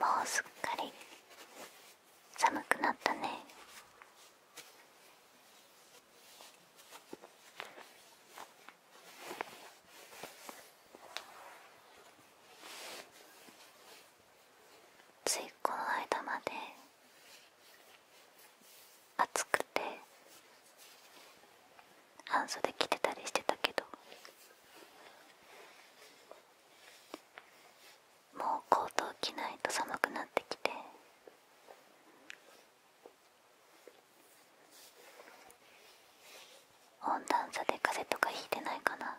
もうすっかり寒くなったねついこの間まで暑くて半袖着てたりしてたけどもうコートを着ないと寒くなってきて温暖差で風邪とか引いてないかな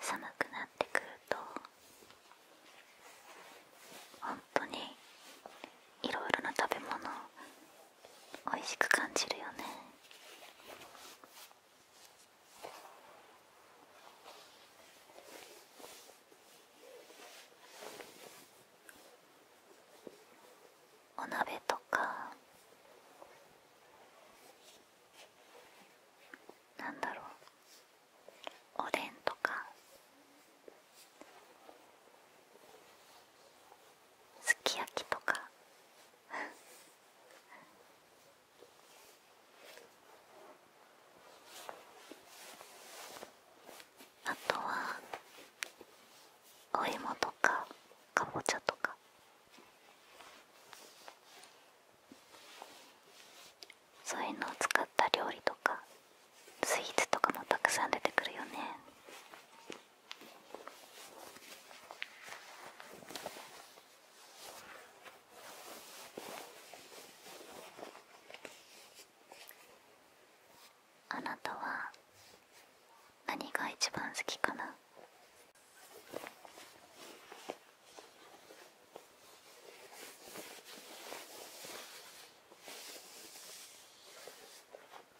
寒くなってくると本当にいろいろな食べ物美味しく感じるよねお鍋とかなんだろうおでんとかすき焼きとかあとはお芋とかかぼちゃとかそういうのを使った料理とかスイーツとかもたくさん出てくるよねあなたは何が一番好きかな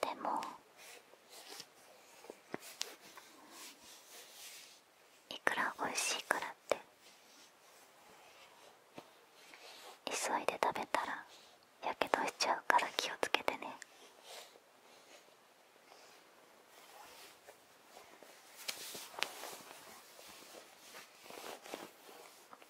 でもいくら美味しいからって急いで食べたらやけどしちゃうから気をつけてね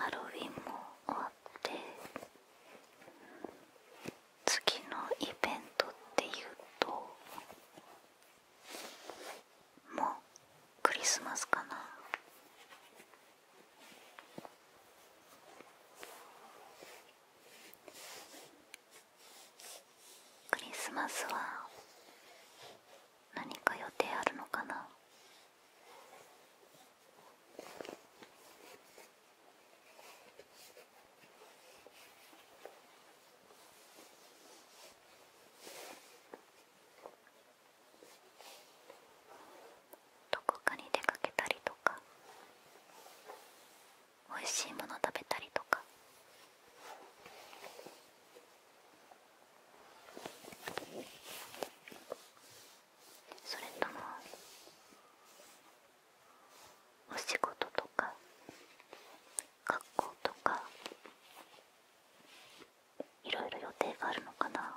ハロウィンも終って次のイベントっていうともうクリスマスかなクリスマスは何か予定あるのかなどこかに出かけたりとかおいしいもの食べたりとかそれともお仕事とか学校とかいろいろ予定があるのかな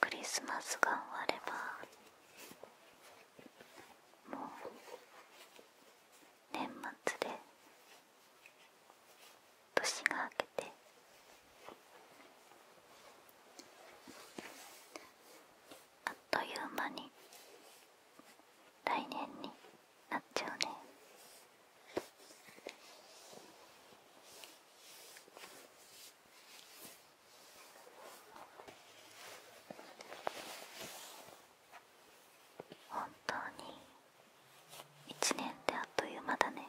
クリスマスが終わればもう年末で年が明けてあっという間に来年になっちゃうね。本当に1年であっという間だね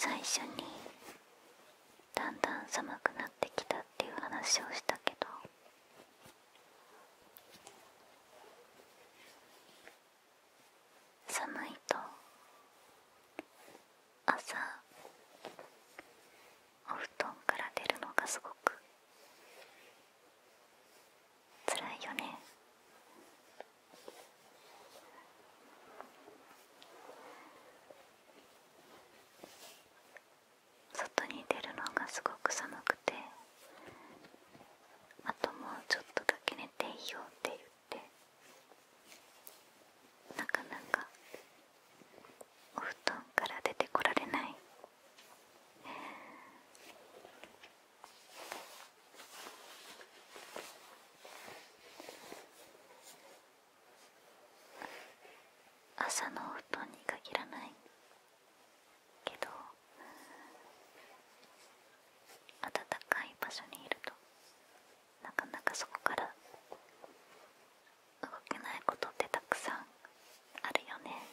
最初にだんだん寒くなってきたっていう話をしたけど寒いと朝お布団から出るのがすごく辛いよね外に出るのがすごく寒くてあともうちょっとだけ寝ていいよって言ってなかなかお布団から出てこられない朝のお布団に限らないけど暖かい場所にいるとなかなかそこから動けないことってたくさんあるよね「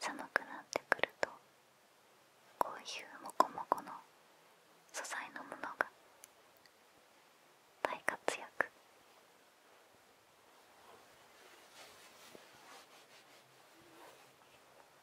寒くなってくるとこういうモコモコの素材のものが大活躍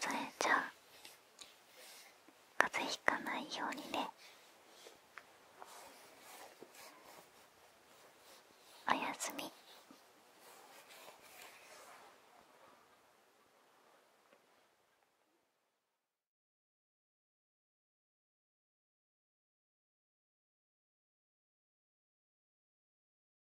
それじゃあ風邪ひかないようにねおやすみ